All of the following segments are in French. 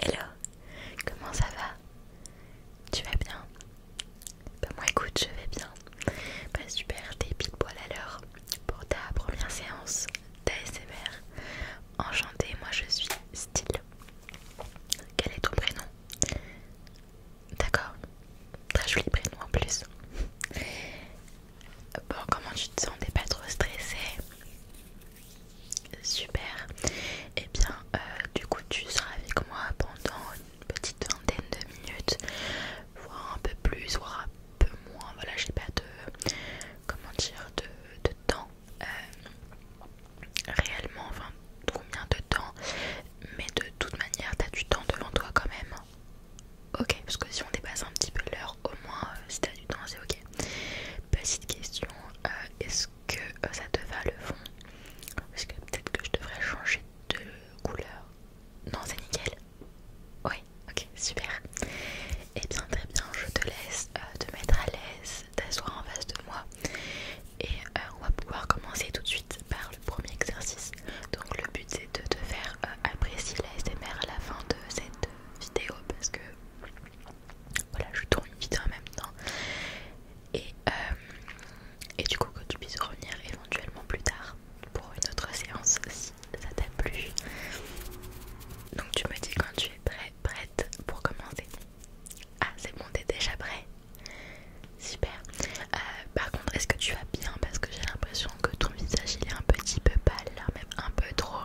Hello, comment ça va Tu vas bien Bah moi écoute, je vais bien. Pas bah super, t'es pile poil à l'heure pour ta première séance d'ASMR. Enchantée, moi je suis Style. Quel est ton prénom D'accord. Très joli prénom en plus. Bon, comment tu te sens T'es pas trop stressée Super. Et eh bien, euh, du coup, tu seras avec moi pendant une petite vingtaine de minutes, voire un peu plus, voire un peu moins. Voilà, j'ai pas de comment dire de temps euh, réellement, enfin combien de temps, mais de toute manière t'as du temps devant toi quand même. Ok, parce que si on dépasse un petit peu l'heure, au moins euh, si t'as du temps c'est ok. Petite question, euh, est-ce que ça te va le fond Parce que peut-être que je devrais changer de couleur. Non, c'est nickel. Oui, ok, super. Et eh bien très bien, je te laisse te mettre à l'aise t'asseoir en face de moi et euh, on va pouvoir commencer tout de suite par le premier exercice. Donc le but c'est de te faire euh, apprécier la SMR à la fin de cette vidéo parce que voilà je tourne une vidéo en même temps et, euh, et du coup que tu puisses revenir éventuellement plus tard pour une autre séance si ça t'a plu. Donc tu me dis quand tu es prêt, prête pour commencer. Ah, c'est bon, t'es déjà prêt Super. Euh, par contre, est-ce que tu vas bien Parce que j'ai l'impression que ton visage il est un petit peu pâle, même un peu trop.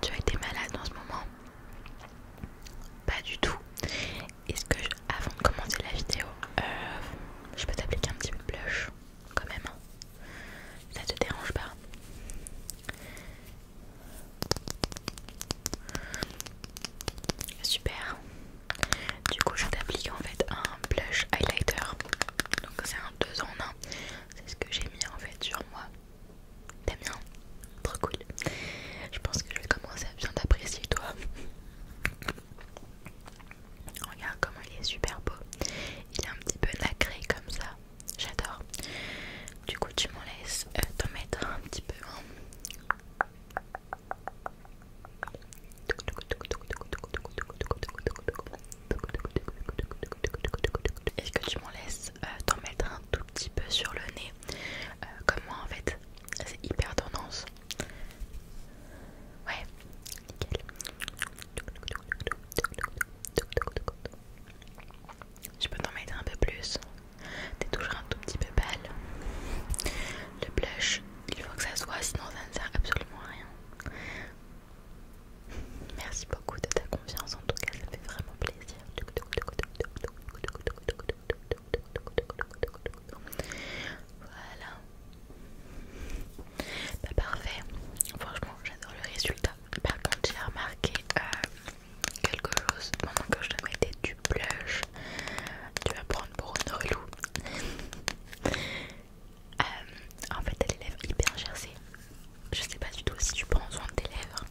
Tu as été malade en ce moment Pas du tout. Est-ce que, avant de commencer la vidéo, euh, je peux t'appliquer un petit blush quand même hein Ça te dérange pas Super. Du coup, je t'applique en fait un blush highlighter. Donc c'est un 2 en 1. C'est ce que j'ai mis en fait sur moi. T'aimes bien Trop cool. Je pense que je vais commencer à bien t'apprécier toi. Regarde comment il est super beau. Il est un petit peu nacré comme ça j'adore. Du coup, tu m'en laisses euh, t'en mettre un petit peu. Hein. Est-ce que tu m'en laisses euh, t'en mettre un tout petit peu sur le nez euh, Comme moi en fait, c'est hyper tendance. Ouais, nickel. Je peux t'en mettre un peu plus. T'es toujours un tout petit peu pâle. Le blush, il faut que ça soit, sinon ça ne sert absolument à rien. Merci beaucoup de ta confiance, en tout cas, ça fait vraiment plaisir. Voilà. Bah, parfait. Franchement, j'adore le résultat. Par contre, j'ai remarqué euh, quelque chose pendant que je te mettais du blush. Tu vas prendre pour une euh, en fait, t'as les lèvres hyper gercées. Je sais pas du tout si tu prends soin de tes lèvres.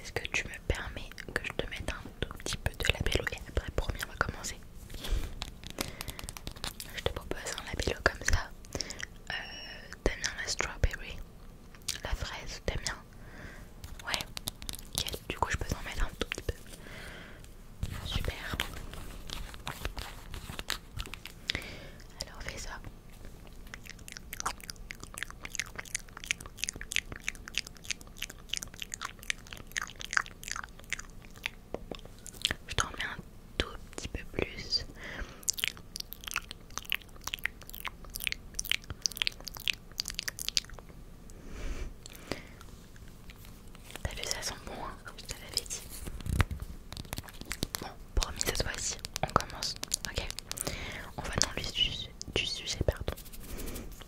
Est-ce que tu me permets que je te mette un tout petit peu de labello et après, promis, on va commencer. Je te propose un labello comme ça. Euh, t'aimes bien la strawberry, la fraise, t'aimes bien Ouais, Du coup, je peux en mettre un tout petit peu. Super. Alors, fais ça. Je t'en mets un tout petit peu plus. T'as vu, ça sent bon, hein je te l'avais dit. Bon, promis cette fois-ci, on commence. Ok, on va dans le sujet, du sujet, pardon.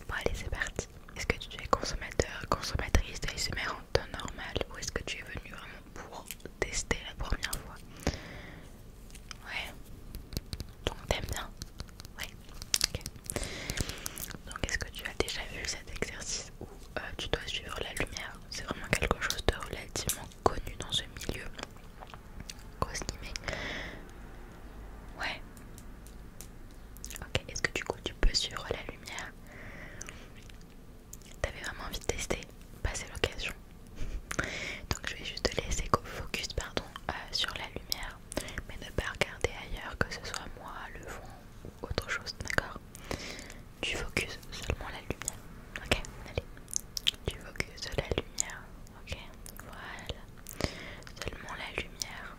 Bon, allez, c'est parti. Est-ce que tu es consommateur, consommatrice d'ASMR en temps normal ou est-ce que tu es venu vraiment pour tester la première fois Ouais. Donc t'aimes bien Ouais. Ok. Donc est-ce que tu as déjà vu cet exercice où euh, tu dois suivre la lumière C'est vraiment quelque chose de relativement connu dans ce milieu. mais Ouais. Ok. Est-ce que du coup tu peux suivre la lumière T'avais vraiment envie de tester Passez l'occasion. Donc je vais juste te laisser focus pardon, euh, sur la lumière, mais ne pas regarder ailleurs, que ce soit moi, le vent ou autre chose, d'accord Tu focus seulement la lumière, ok Allez, tu focus la lumière, ok Voilà, seulement la lumière,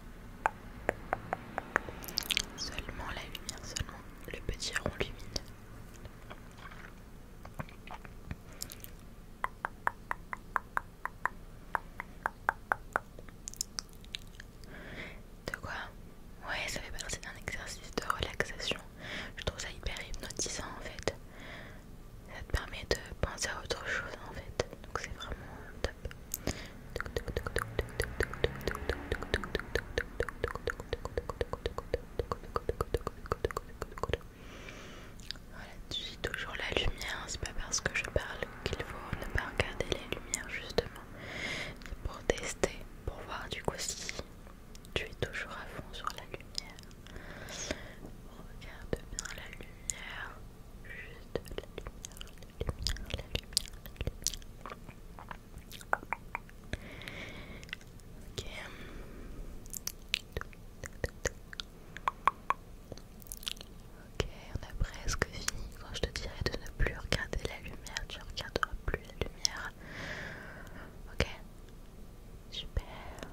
seulement la lumière, seulement le petit rond lumineux. De quoi Ouais, ça fait partie d'un exercice de relaxation. Je trouve ça hyper hypnotisant en fait. Ça te permet de penser à autre chose en fait. Donc c'est vraiment top. Voilà, tu es toujours la lumière, c'est pas parce que je parle qu'il faut ne pas regarder les lumières justement. C'est pour tester, pour voir du coup si tu es toujours à fond sur la lumière. Regarde bien la lumière, juste la lumière, la lumière, la lumière. La lumière. Ok. Ok, on a presque fini. Quand je te dirai de ne plus regarder la lumière, tu regarderas plus la lumière. Ok, super.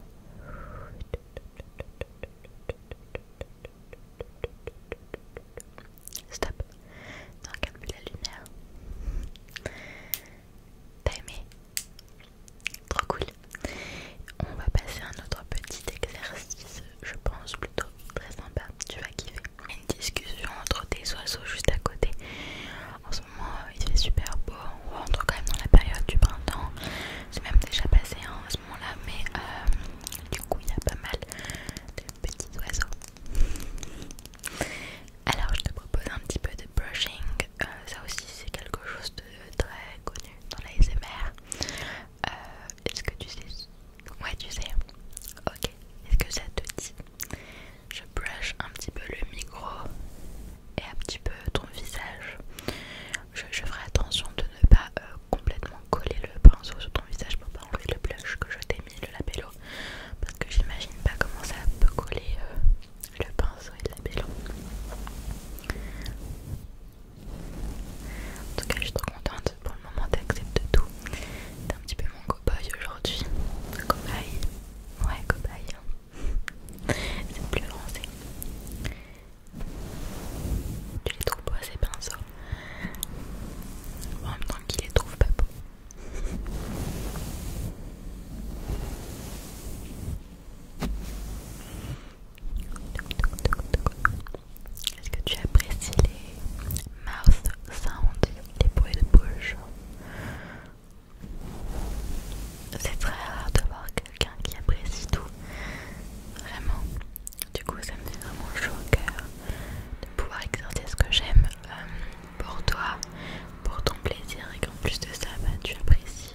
Stop. Ne regarde la lumière. T'as aimé Trop cool. On va passer à un autre petit exercice, je pense plutôt très sympa. Tu vas kiffer. Une discussion entre des oiseaux juste à côté. En ce moment, euh, il fait super beau. On rentre quand même dans la période du printemps. C'est même déjà passé en hein, ce moment-là, mais euh, du coup, il y a pas mal de petits oiseaux. Alors, je te propose un petit peu de brushing. Euh, ça aussi, c'est quelque chose de très connu dans la euh, est-ce que tu sais Ouais, tu sais. Ok. Est-ce que ça te dit Je brush un petit peu le micro et un petit peu ton visage. Je, ferai attention de ne pas euh, complètement coller le pinceau sur ton visage pour pas enlever le blush que je t'ai mis, le labello. Parce que j'imagine pas comment ça peut coller euh, le pinceau et le labello. En tout cas, je suis trop contente pour le moment, t'acceptes tout. T'es un petit peu mon cobaye aujourd'hui. Cobaye Ouais, cobaye. Hein. C'est plus français. Tu les trouves pas ces pinceaux. En même temps qu'il les trouve pas beaux. Est-ce que tu apprécies les mouth sounds, les bruits de bouche C'est très rare de voir quelqu'un qui apprécie tout, vraiment. Du coup, ça me fait vraiment chaud au cœur de pouvoir exercer ce que j'aime euh, pour toi, pour ton plaisir et qu'en plus de ça, bah, tu apprécies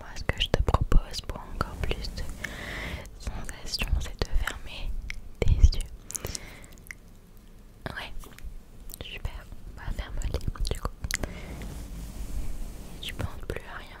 Moi, ce que je te propose pour encore plus de sensations, c'est de fermer tes yeux. Ouais, super. on Bah, ferme-les du coup. tu penses plus à rien.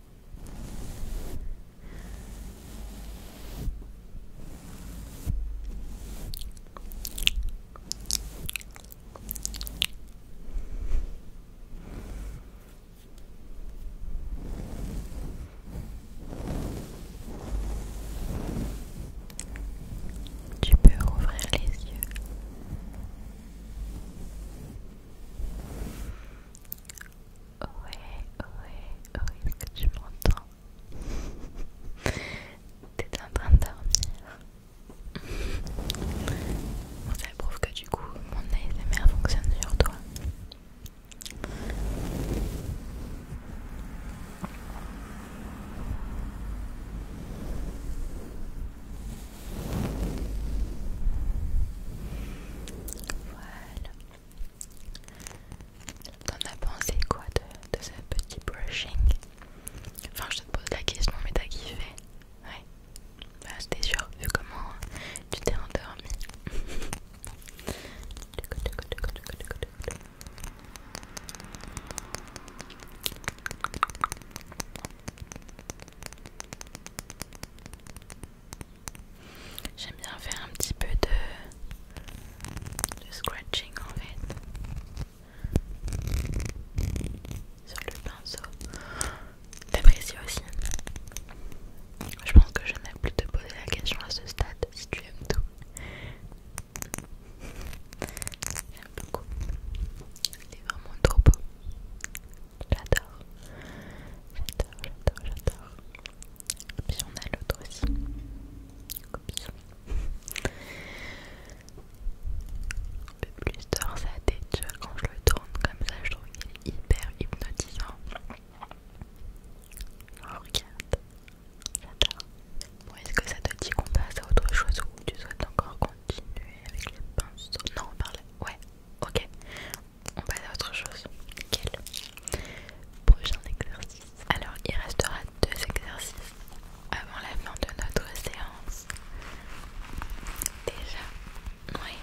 Tu peux ouvrir les yeux. Ohé, ohé, ohé, est-ce que tu m'entends T'es en train de dormir. bon, ça prouve que du coup, mon ASMR fonctionne sur toi. Voilà. T'en as pensé quoi de, de ce petit brushing Enfin, je te pose la question, mais t'as kiffé Ouais. Bah, c'était sûr, vu comment tu t'es endormi. J'aime bien faire un petit peu de, scratching en fait sur le pinceau. T'apprécies aussi. Je pense que je n'ai plus te poser la question à ce stade si tu aimes tout. J'aime beaucoup. Il est vraiment trop beau. J'adore j'adore, j'adore. j'adore. Et puis on a l'autre aussi. Oups. Un peu plus d'or ça vois, quand je le tourne comme ça, je trouve qu'il est hyper hypnotisant. regarde, j'adore. Bon, est-ce que ça te dit qu'on passe à autre chose ou tu souhaites encore continuer avec les pinceaux Non, on parlait. ouais, ok on passe à autre chose. Quel prochain exercice Alors, il restera deux exercices avant la fin de notre séance. Déjà, oui.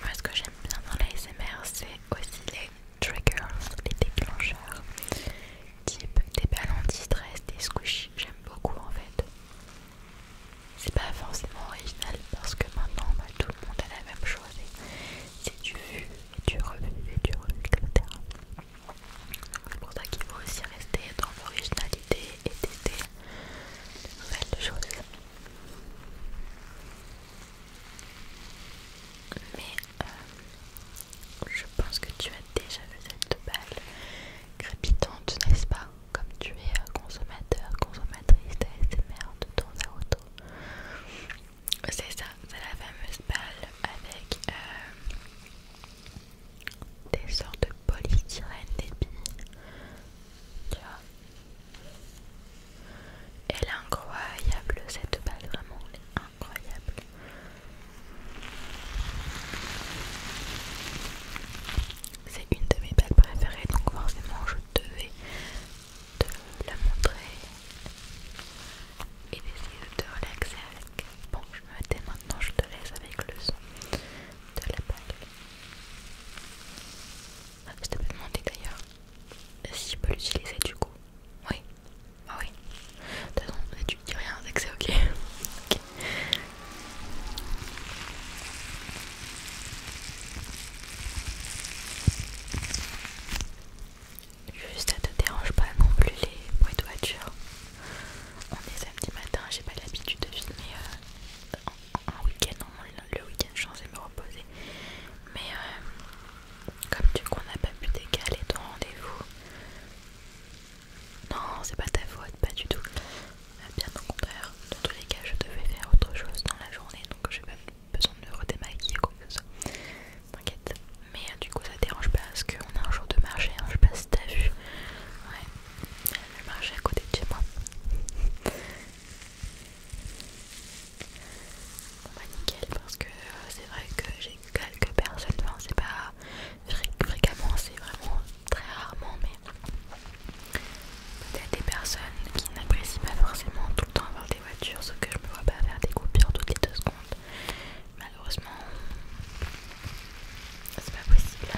Moi, ce que j'aime bien dans l'ASMR, c'est aussi les triggers, les déclencheurs, type des ballons de stress des squishies. J'aime beaucoup en fait c'est pas forcément original parce que maintenant bah, tout le monde a la même chose c'est du vu et du revu et du revu etc c'est pour ça qu'il faut aussi rester dans l'originalité et tester de nouvelles choses mais euh, je pense que tu as déjà vu cette balle crépitante n'est-ce pas comme tu es euh, consommateur, consommatrice d'ASMR de temps à auto. C'est ça, c'est la fameuse balle avec euh, des sortes de polystyrène des Tu vois Elle incroyable, cette balle, vraiment, elle est incroyable c'est une de mes balles préférées donc forcément je devais te la montrer et d'essayer de te relaxer avec. Bon je me mettais, maintenant, je te laisse avec le son de la bague Ah, je t'avais demandé d'ailleurs si je peux l'utiliser du coup. Oui, ah oui. De toute façon tu dis rien, c'est que c'est ok. Juste, ça te dérange pas non plus les bruits de voiture. On est samedi matin, j'ai pas l'habitude de filmer euh, en, week-end. Le week-end, je suis me reposer. Mais euh, comme tu qu'on n'a pas pu décaler ton rendez-vous. Non, c'est pas ta faute, pas du tout. Bah, bien au contraire, dans tous les cas je devais faire autre chose dans la journée donc j'ai pas besoin de me redémaquiller quoi que ce T'inquiète. Mais euh, du coup ça dérange pas parce qu'on a un jour de marché, hein, je sais pas si t'as vu. Ouais, le marché à côté de chez moi. On bah, nickel parce que euh, c'est vrai que j'ai quelques personnes, c'est pas fréquemment, c'est vraiment très rarement mais Peut-être des personnes qui n'apprécient pas forcément tout le temps avoir des voitures, sauf que je me vois pas faire des coupures toutes les deux secondes. Malheureusement, c'est pas possible.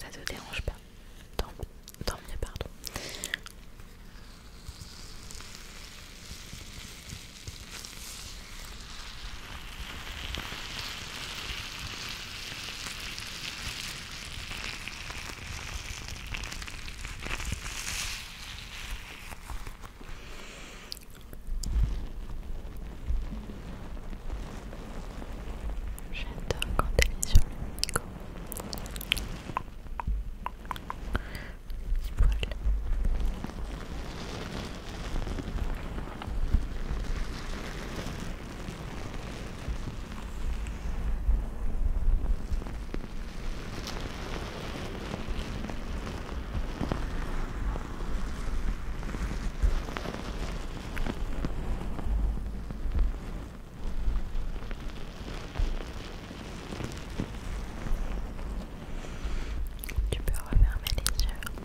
Ça te dérange pas. Tant, mieux, pardon. J'adore quand elle est sur le micro. Voilà. Tu peux refermer les yeux.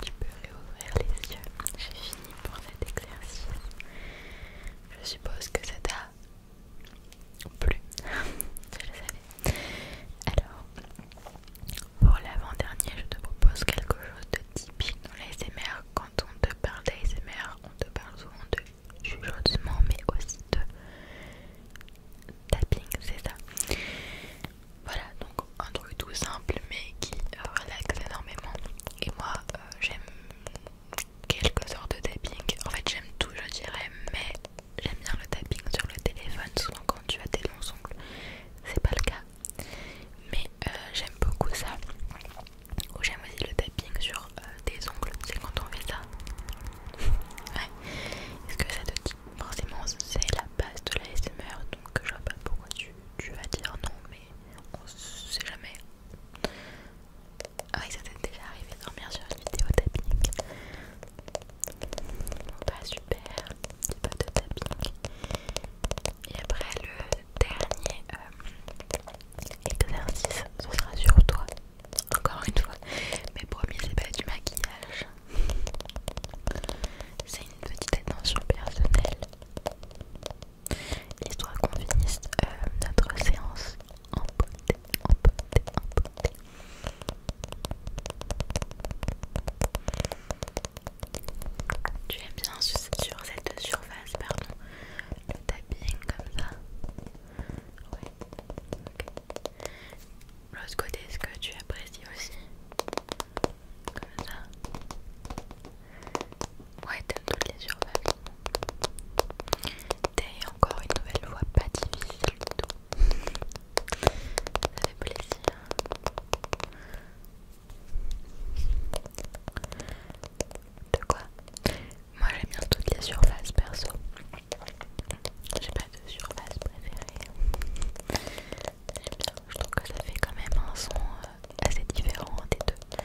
Tu peux réouvrir les yeux. J'ai fini pour cet exercice. Je suppose que ça t'a plu. Je le savais. Alors, pour l'avant-dernier, je te propose quelque chose de typique dans l'ASMR. Quand on te parle d'ASMR, on te parle souvent de jugement mais aussi de tapping, c'est ça. Voilà, donc un truc tout simple mais qui relaxe énormément. Et moi, euh, j'aime quelques heures de tapping. En fait, j'aime tout, je dirais, mais j'aime bien le tapping sur le téléphone. Souvent, quand tu as tes longs ongles, c'est pas le cas. Mais euh, j'aime beaucoup ça. Ou j'aime aussi le tapping sur euh, tes ongles. C'est quand on fait ça. ouais. Est-ce que ça te dit Forcément, c'est la base de la SMR, donc je vois pas beaucoup tu tu, vas dire non, mais on sait jamais. Ah oui, ça t'est déjà arrivé de dormir sur une vidéo tapping. Bon bah super, pas de tapping. Et après le dernier euh, exercice, ce sera sur toi. Encore une fois, mais promis c'est pas du maquillage. C'est une petite attention personnelle Histoire qu'on finisse euh, notre séance en beauté, en en Tu aimes bien sur cette surface, pardon, le tapping comme ça Ouais, ok. L'autre côté, est-ce que tu apprécies aussi comme ça. Ouais, t'aimes toutes les surfaces. T'es encore une nouvelle voix pas difficile du tout. Ça fait plaisir. De quoi Moi j'aime bien toutes les surfaces perso. J'ai pas de surface préférée. Je trouve que ça fait quand même un son euh, assez différent des deux.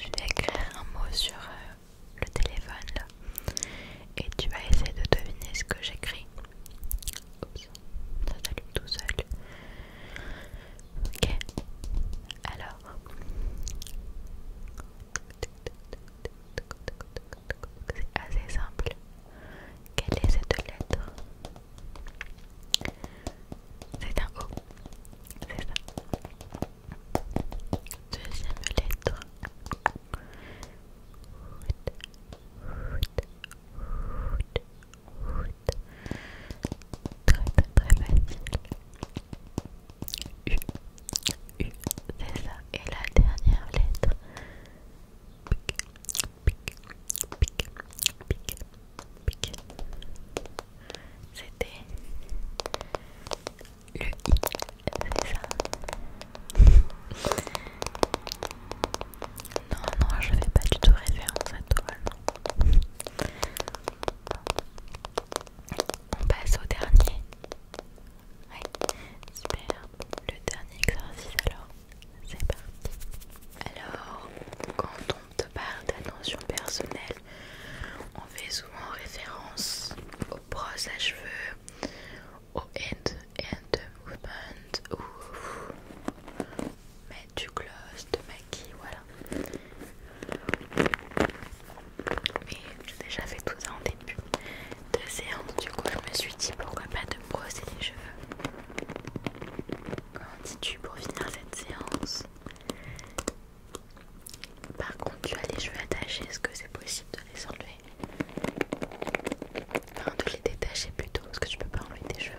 Je vais écrire un mot sur euh, le téléphone là et tu vas essayer de deviner ce que j'écris. comme ça s'allume tout seul. Ok, alors. C'est assez simple. Quelle est cette lettre C'est un O. C'est ça. Deuxième lettre. Très très très facile. U, U, c'est ça. Et la dernière lettre. Pique, pique, pique, pique, pique C'était le I c'est ça. non, non, je ne fais pas du tout référence à toi, non. On passe au dernier. Ouais, super. Le dernier exercice alors. C'est parti. Alors, quand on te parle d'attention personnelle, on fait souvent référence aux brosses à cheveux, au end, end movement ou mettre du gloss, de maquis, voilà. Mais j'ai déjà fait tout ça en début de séance, du coup je me suis dit pourquoi pas de brosser les cheveux. Comment dis-tu pour finir cette séance Par contre, tu as les cheveux attachés, est-ce que c'est possible de les enlever Enfin, de les détacher plutôt, parce que je peux pas enlever tes cheveux.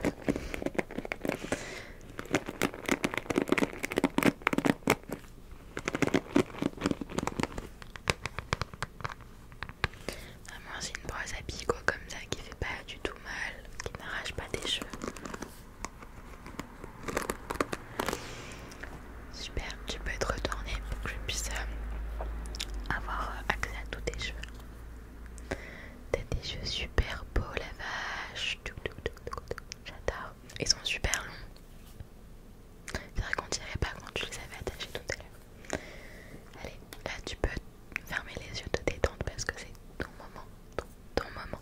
Vraiment, ah, c'est une brosse à quoi comme ça qui fait pas du tout mal, qui n'arrache pas tes cheveux. Super. Tu peux être retournée pour que je puisse euh, avoir euh, accès à tous tes cheveux. T'as des cheveux super beaux, la vache. J'adore. Ils sont super longs. C'est vrai qu'on dirait pas quand tu les avais attachés tout à l'heure. Allez, là tu peux fermer les yeux, te détendre parce que c'est ton moment. Ton, moment.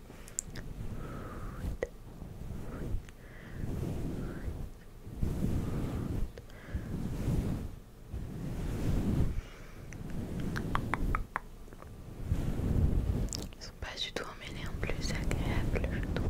Ils sont pas du tout emmêlés en plus, agréables je trouve.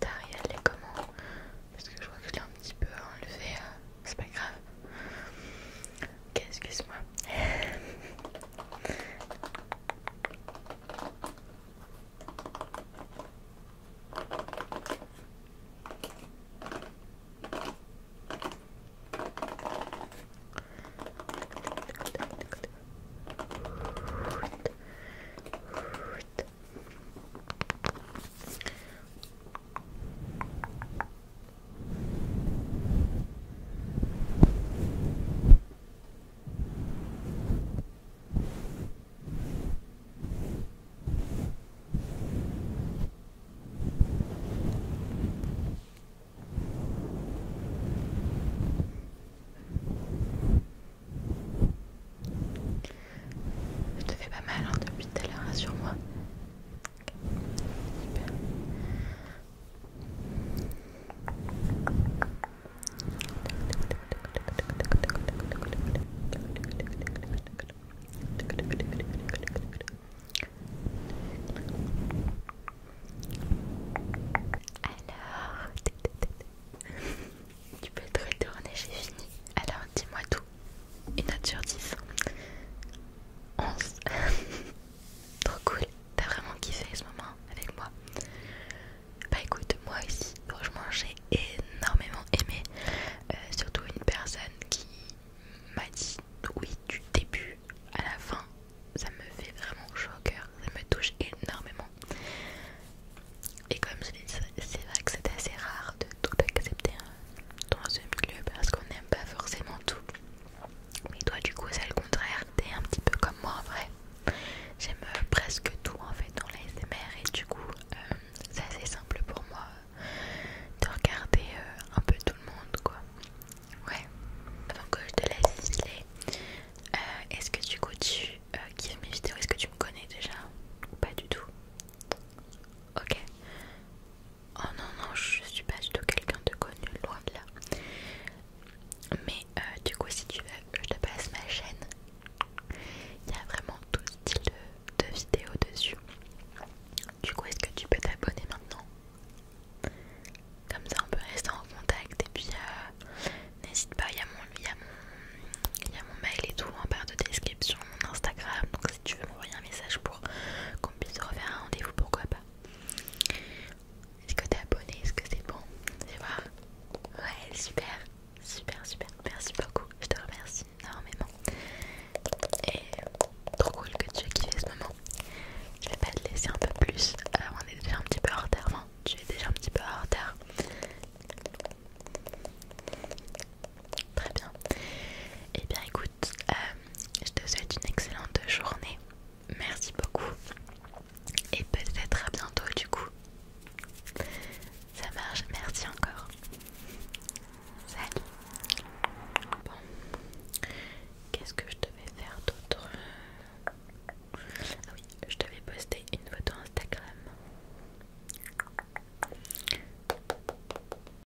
Tariel est comment parce que je vois que je l'ai un petit peu enlevé, euh, c'est pas grave. Ok, excuse-moi. Je te fais pas mal hein, depuis tout à l'heure, rassure-moi. Alors, tu peux te retourner, j'ai fini dis-moi tout. Une note sur 10. 11. Trop cool. T'as vraiment kiffé ce moment avec moi. Bah écoute, moi aussi, franchement, j'ai énormément aimé. Euh, surtout une personne qui m'a dit oui du début à la fin. Ça me fait vraiment chaud au Ça me touche énormément. Et comme je l'ai c'est vrai que c'est assez rare de tout accepter dans une club parce qu'on n'aime pas forcément tout. Mais toi du coup c'est le contraire, t'es un petit peu comme moi en vrai. J'aime euh, presque tout en fait dans l'ASMR et du coup euh, c'est assez simple pour moi euh, de regarder un peu tout le monde quoi. Ouais. Avant que je te laisse isoler est-ce que du coup tu kiffes mes vidéos Est-ce que tu me connais déjà Ou pas du tout Ok. Oh non, non, je suis pas du tout quelqu'un de connu, loin de là. Mais euh, du coup, si tu veux, je te passe ma chaîne. Il y a vraiment tout style de, vidéos dessus. Du coup, est-ce que tu peux t'abonner maintenant Comme ça, on peut rester en contact. Et puis, euh, n'hésite pas, il y, a mon, mon, y a mon mail et tout en barre de description, mon Instagram. Donc, si tu veux m'envoyer un message pour puis se refaire un rendez-vous, pourquoi pas. Est-ce que t'es abonné Est-ce que c'est bon C'est voir. Ouais, super, super, super. Merci beaucoup, je te remercie énormément. Et trop cool que tu aies kiffé ce moment. Je vais pas te laisser un peu plus. Euh, on est déjà un petit peu en retard, non tu es déjà un petit peu en retard. Très bien. Et eh bien écoute, euh, je te souhaite une excellente journée. Merci beaucoup. Et peut-être à bientôt du coup. Ça marche, merci encore. Salut. Bon, qu'est-ce que je devais faire d'autre Ah oui, je devais poster une photo Instagram.